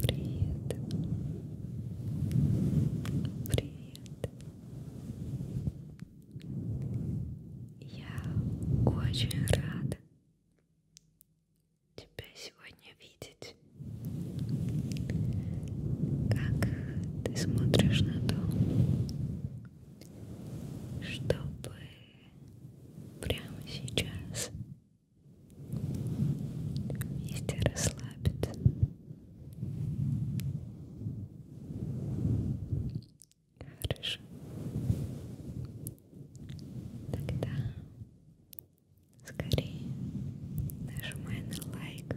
Привет. Привет. Я очень рада тебя сегодня видеть. Как ты смотришь на то, чтобы прямо сейчас вместе расслабиться хорошо тогда скорее нажимай на лайк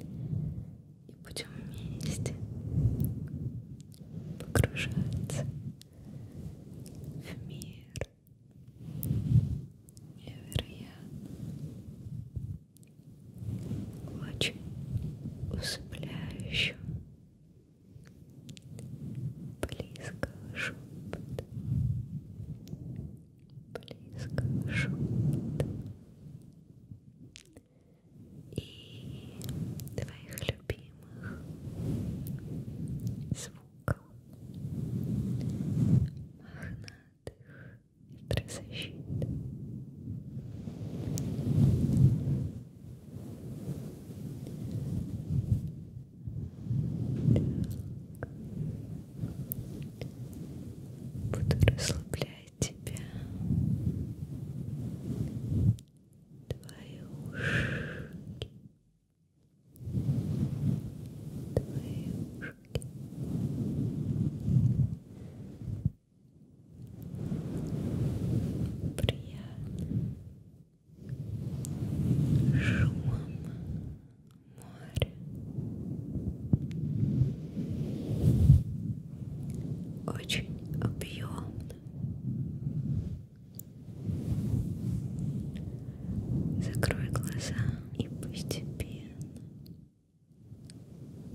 и будем вместе погружаться в мир невероятно очень усыпляющего близкого шепота близкого шепота и твоих любимых любимых звуков мохнатых ветрозащит. Так. Буду расслаблять тебя, твои ушки, твои ушки приятно шумом моря очень объемно Закрой глаза и постепенно,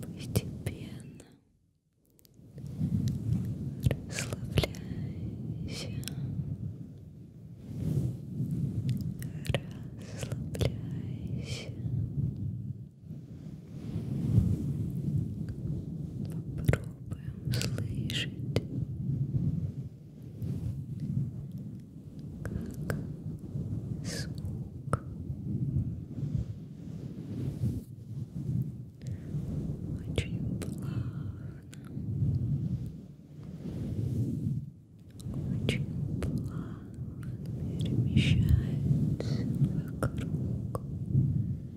постепенно расслабляйся, расслабляйся. Попробуй будем слышать, как звук очень плавно, очень плавно перемещается вокруг.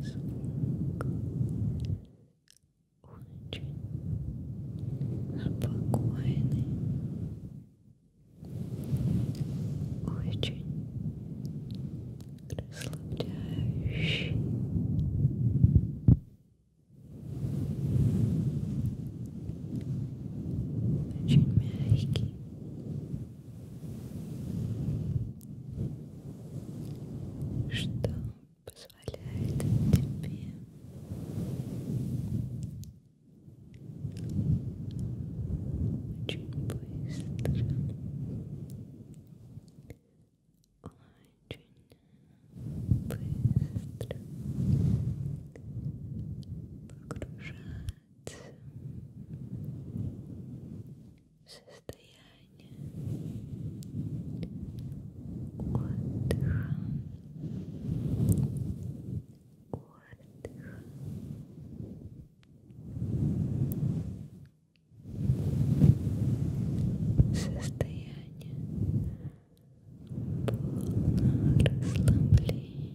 звук очень спокойный, очень расслабляющий. Очень мягкий, что позволяет тебе очень быстро, очень быстро погружаться в состояние отдыха, отдыха. Состояние полного расслабления,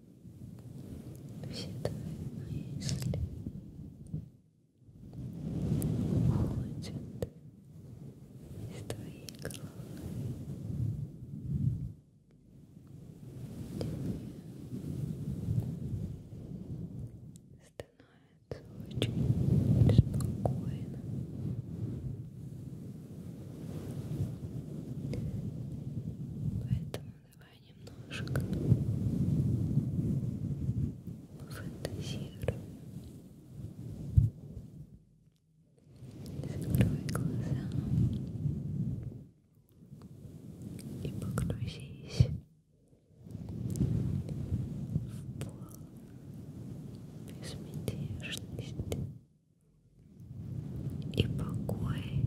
все твои мысли уходят из твоей головы. Тебе становится очень спокойно. Поэтому Давай немножко фантазируем. Закрой глаза и погрузись в пол безмятежность и покой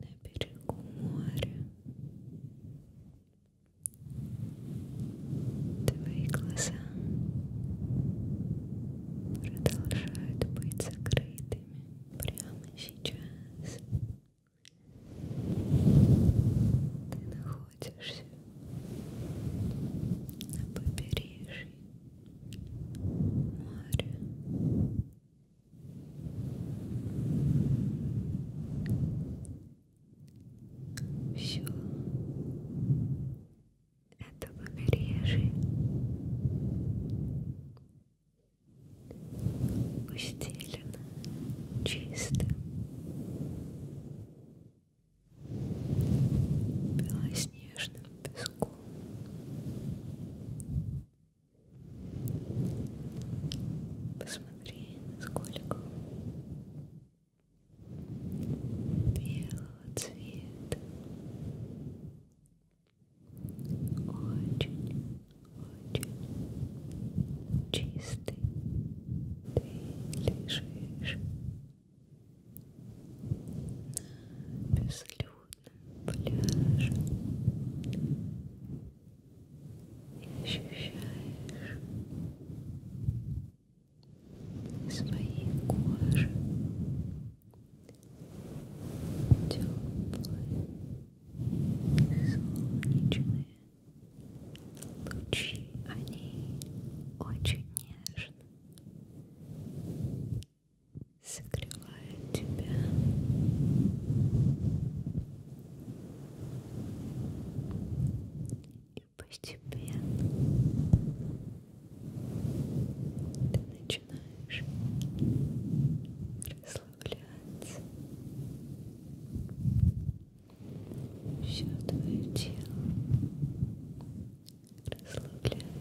на берегу моря. Твои глаза продолжают быть закрытыми прямо сейчас. Ты находишься на побережье моря все это побережье устелено чисто белоснежным песком Посмотри, насколько белого цвета. Очень, очень чистый. Ты лежишь на безлюдном холодном пляже и ощущаешь на своей коже теплые солнечные лучи, они очень нежно согревает тебя. И постепенно ты начинаешь расслабляться. Все твое тело расслабляется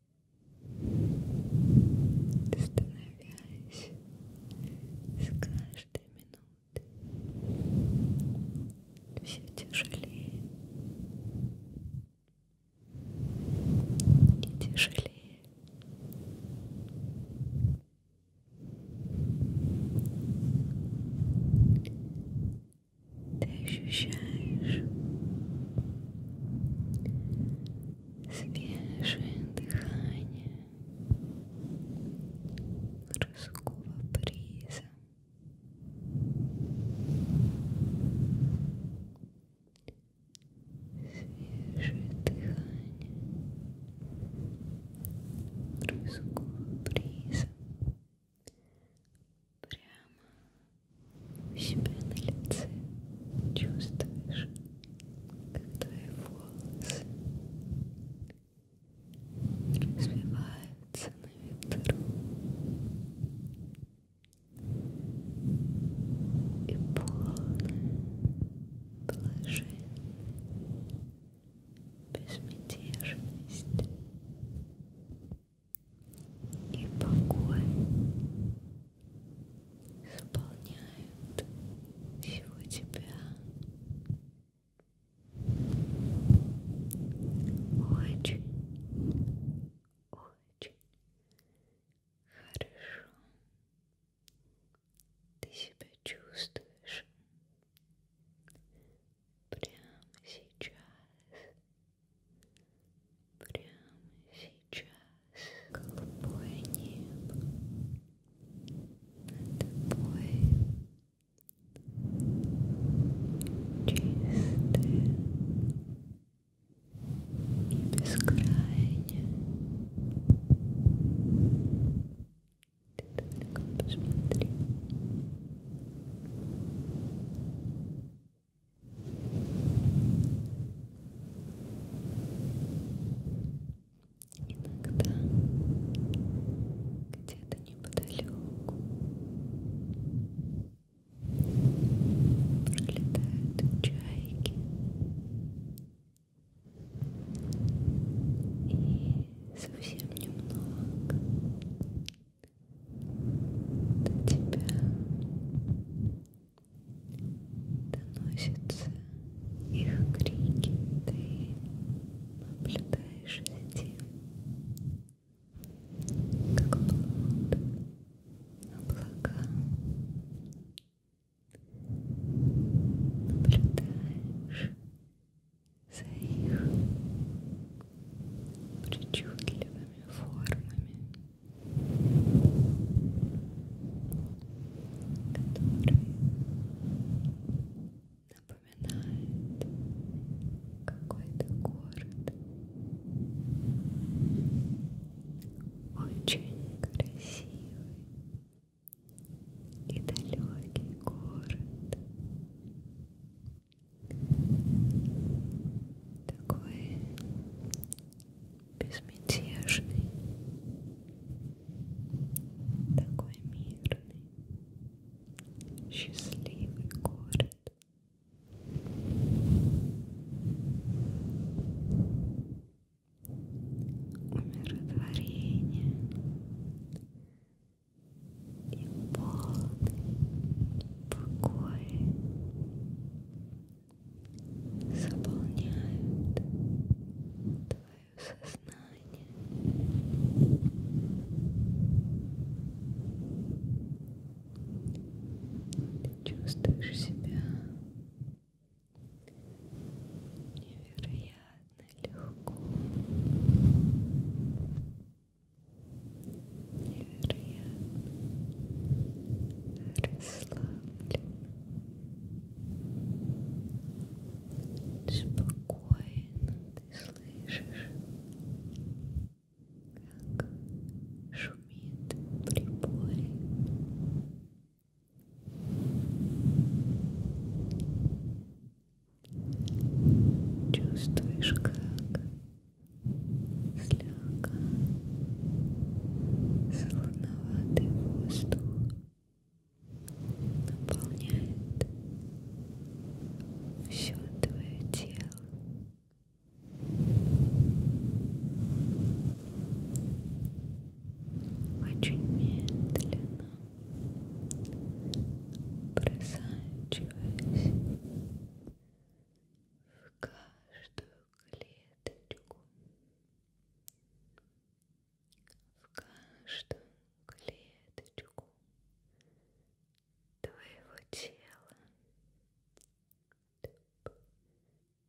становясь с каждой минутой все тяжелее и тяжелее ты ощущаешь свежее дыхание морского приза. Свежее дыхание морского приза прямо у себя на лице чувствуешь, как твои волосы развиваются на ветру и полное положение безмятежность и покой исполняют всего тебя. Очень, очень хорошо ты себя чувствуешь прямо сейчас. Прямо сейчас голубое небо над тобой чистое и бескрайнее. Ты только посмотри. Иногда где-то неподалеку пролетают чайки и совсем немного до тебя доносятся их крики, ты наблюдаешь за тем, как плод облака наблюдаешь за их причудливыми формами который напоминает какой-то город. Очень красивый и далекий город такой безмятежный, такой мирный, счастливый город. Умиротворение и полный покой заполняют твое сознание. Ты чувствуешь себя невероятно легко невероятно расслаблен, спокойно ты слышишь, как шумит прибой. Чувствуешь, как слегка солоноватый воздух наполняет все твое тело. Очень медленно просачиваясь каждую клеточку, в каждую клеточку твоего тела. Туп,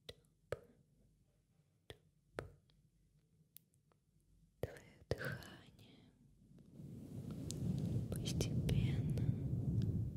туп, туп. Твое дыхание постепенно выравнивается. Она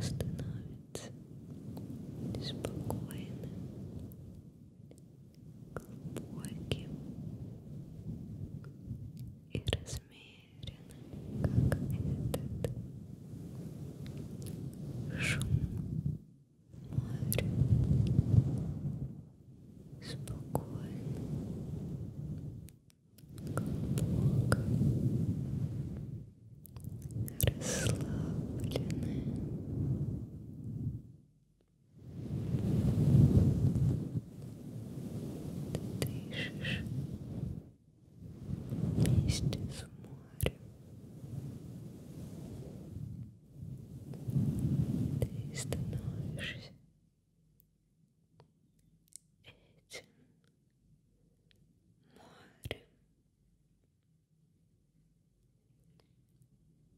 становится спокойной, глубоким и размеренным, как этот шум моря, спокойно, глубоко, расслабленное ты дышишь вместе с морем. Ты становишься этим морем.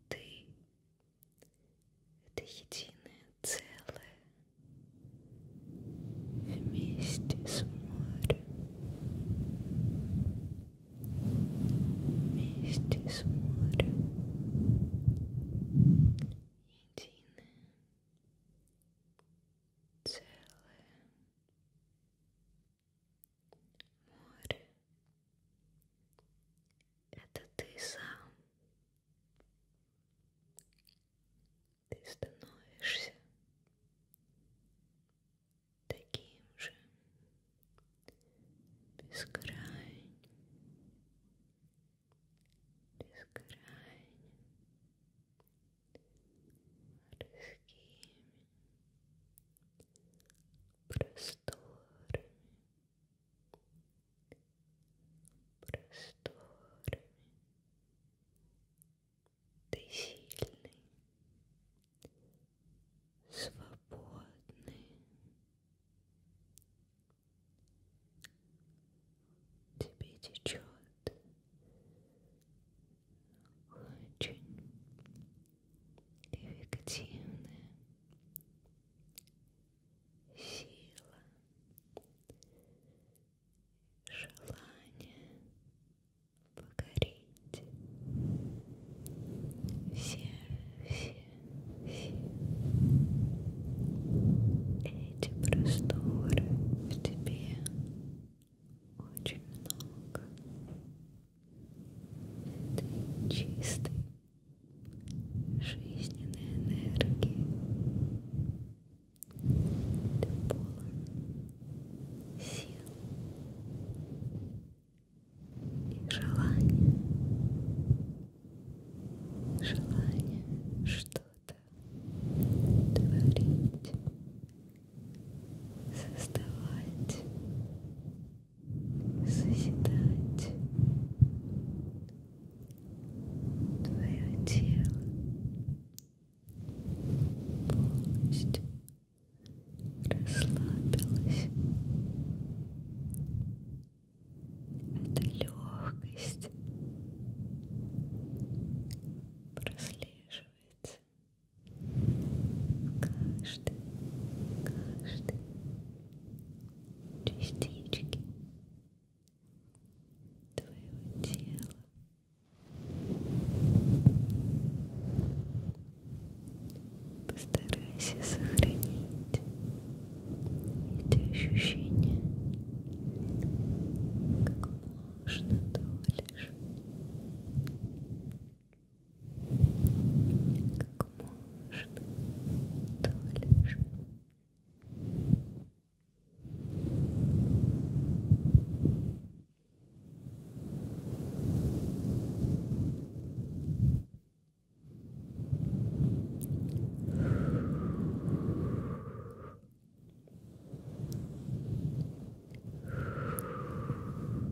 Ты — это единое целое вместе с морем, вместе с морем, единое целое. Море это ты сам. Ты становишься таким же бескрайним, бескрайним, морскими просторами, просторами. Ты сильный, свободный. Тебе течет очень эффективная сила, желание покорить все, все, все эти просторы в тебе очень много этой чистой жизненной энергии. Ты полон сил и желания, желания что-то творить, создавать созидать твое тело полностью расслабилось. Это легкость прослеживается каждой, каждой частички твоего тела. Постарайся сохранить эти ощущения как можно дольше как можно дальше. Дышите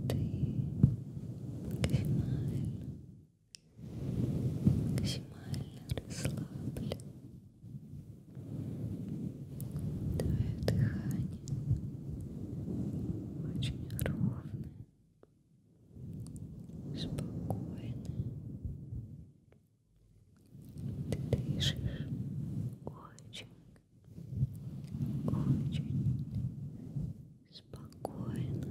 ты максимально, максимально расслаблен. Твое дыхание очень ровное, спокойное. Ты дышишь очень очень спокойно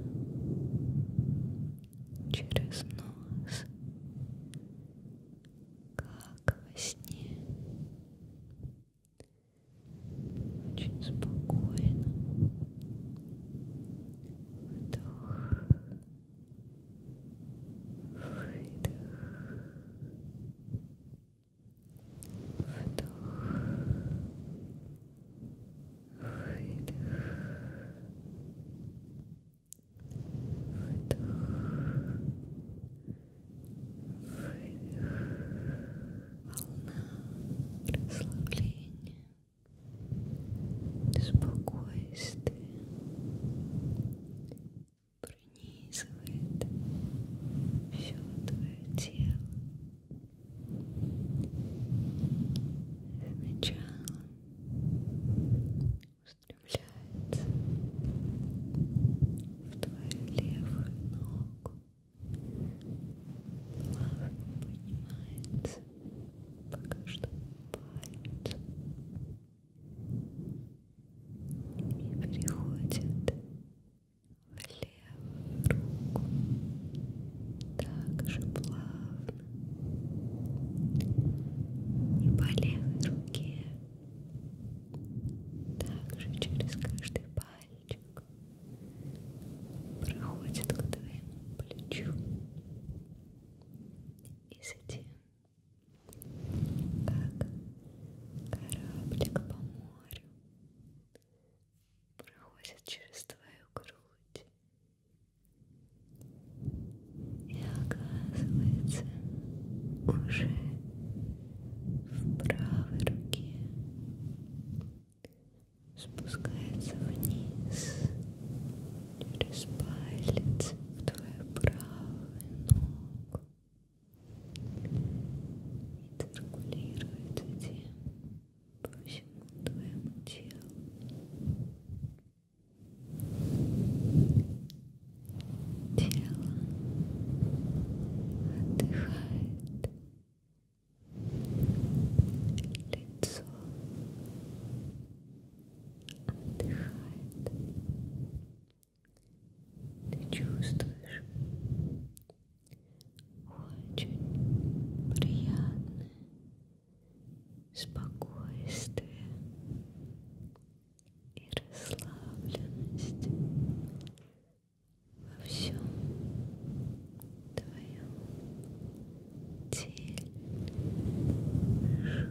через нос, как во сне, очень спокойно вдох. Выдох. Вдох. Выдох. Вдох. Выдох. Волна расслабления. Спокойствие пронизывает все твое тело Сначала устремляется в твою левую ногу, плавно поднимается, пока что палец и переходит левую руку также плавно и по левой руке также через каждый пальчик проходит к твоему плечу и затем как кораблик по морю проходит через твою грудь и оказывается уже в правой руке спускается вниз через палец в твою правую ногу циркулирует затем по всему твоему телу. Тело отдыхает, лицо отдыхает. Ты чувствуешь очень приятное спокойствие и расслабленность во всем твоем теле. Хорошо.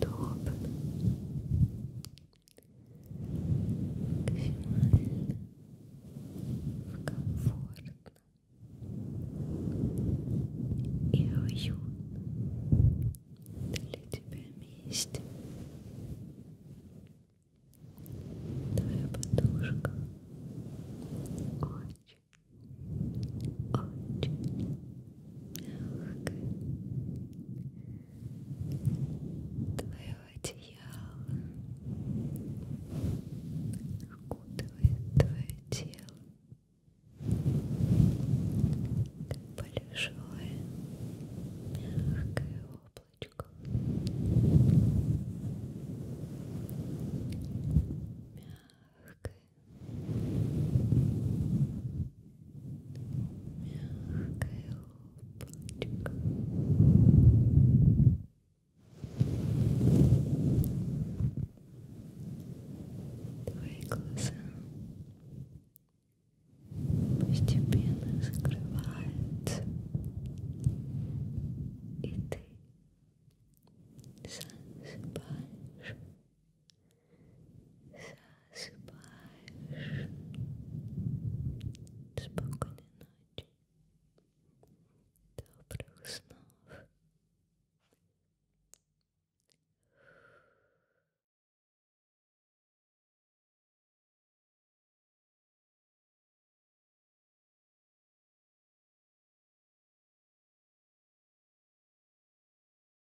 to open. Кошмарно, комфортно и уютно для тебя вместе. Твоя подушка очень, очень мягко твоего одеяла окутывает твое тело как большое мягкое облачко мягкое мягкая лопочка твои глаза постепенно закрываются и ты засыпаешь засыпаешь. Спокойной ночи. Добрых снов.